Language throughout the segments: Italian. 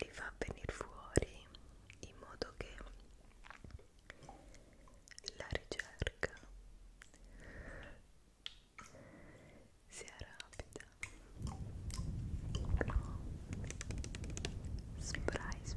li fa venire fuori in modo che la ricerca sia rapida no. surprise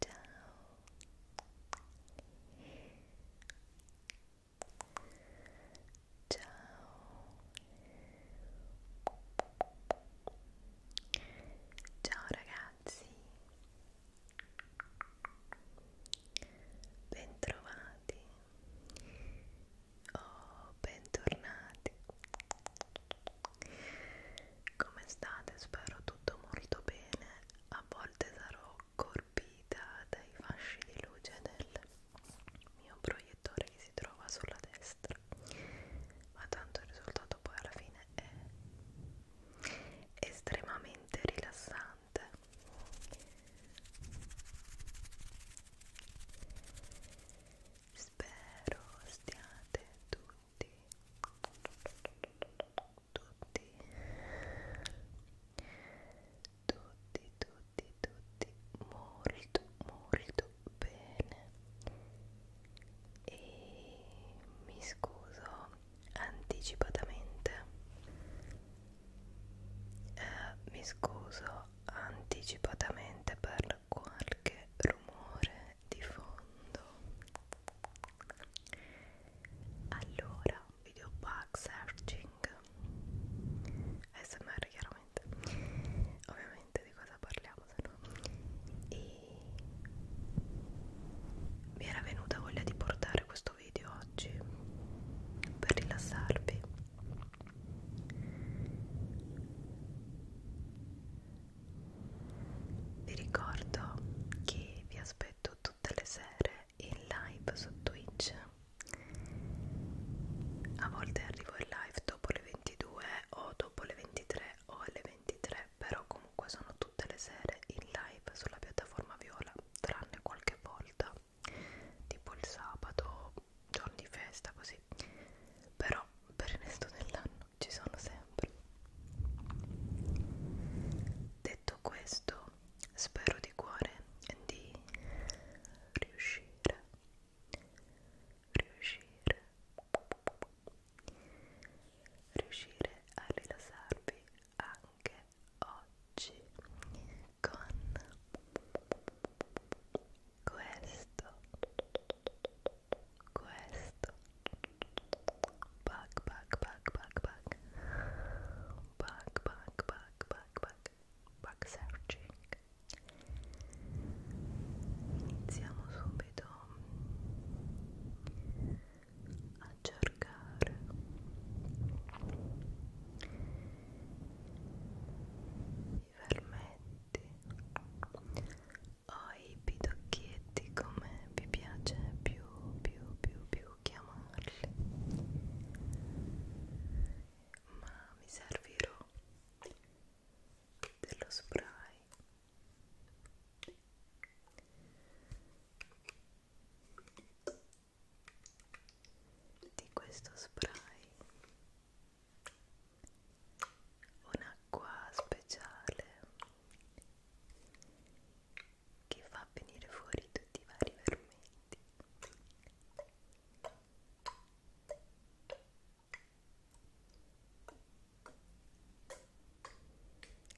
Ciao. Ciao. Ciao ragazzi. Bentrovati o oh, bentornati. Come state? Spero tutto molto bene a volte sarò colpita dai fasci di luce del mio proiettore che si trova sulla destra ma tanto il risultato poi alla fine è estremamente rilassante spero stiate tutti tutti tutti tutti tutti molto molto bene e mi scuso anticipatamente eh, mi scuso anticipatamente per qualche rumore di fondo allora video bug searching smr chiaramente ovviamente di cosa parliamo se no e mi era venuta voglia di portare questo video oggi per rilassarvi vi ricordo che vi aspetto tutte le sere in live su Twitch. A volte arrivo in live dopo le 22 o dopo le 23 o alle 23, però comunque sono tutte le sere in live sulla piattaforma viola, tranne qualche volta, tipo il sabato, giorni di festa così. Però per il resto dell'anno ci sono sempre. Detto questo, spero di cuore di riuscire, riuscire, riuscire a rilassarvi anche oggi con questo questo bug bug bug bug bug bug bug bug bug bug bug searching iniziamo subito a cercare i fermenti ho i pidocchietti come vi piace più più più più chiamarli ma mi servirò dello spray di questo spray un'acqua speciale che fa venire fuori tutti i vari fermenti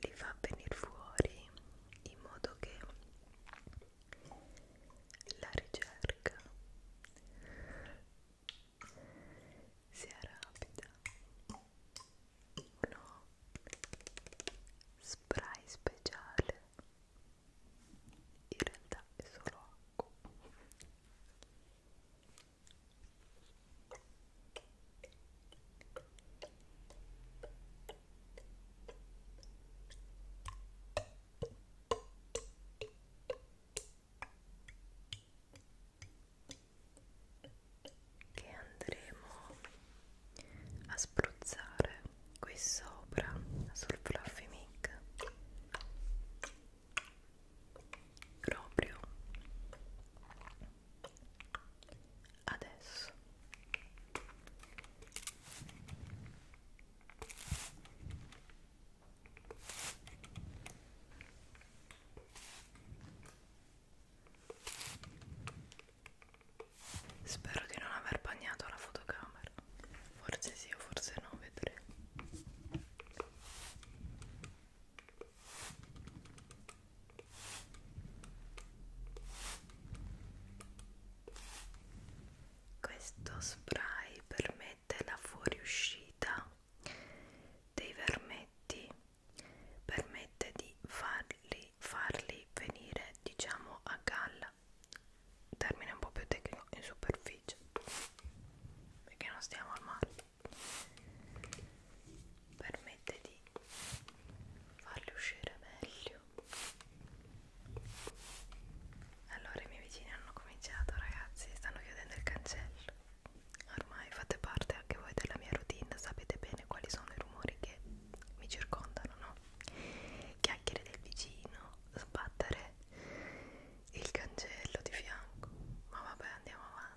li fa venire fuori in modo che la ricerca si arrabita uno spray speciale in realtà è solo acqua che andremo a spruzzare qui sopra sul fluffy mic proprio adesso Spero di non aver bagnato la fotocamera. Forse sì o forse no, vedremo. Questo spray permette la fuoriuscita dei vermetti permette di farli, farli venire diciamo a galla termine un po' più tecnico in superficie perché non stiamo al mare permette di farli uscire meglio allora i miei vicini hanno cominciato ragazzi stanno chiudendo il cancello ormai fate parte anche voi della mia routine, sapete bene quali sono i rumori che mi circondano, no? Chiacchiere del vicino, sbattere il cancello di fianco, ma vabbè andiamo avanti.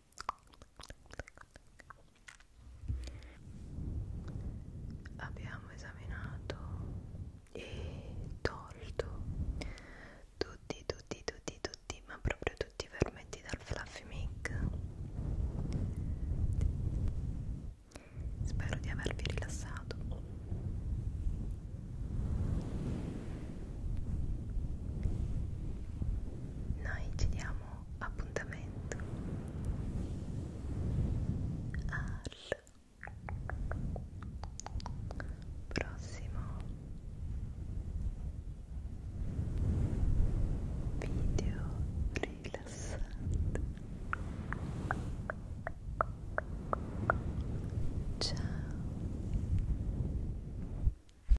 Abbiamo esaminato e tolto tutti, tutti, tutti, tutti, ma proprio tutti i vermetti dal Fluffy Mic. Spero di avervi rilassato. Noi ci diamo appuntamento al prossimo video rilassante ciao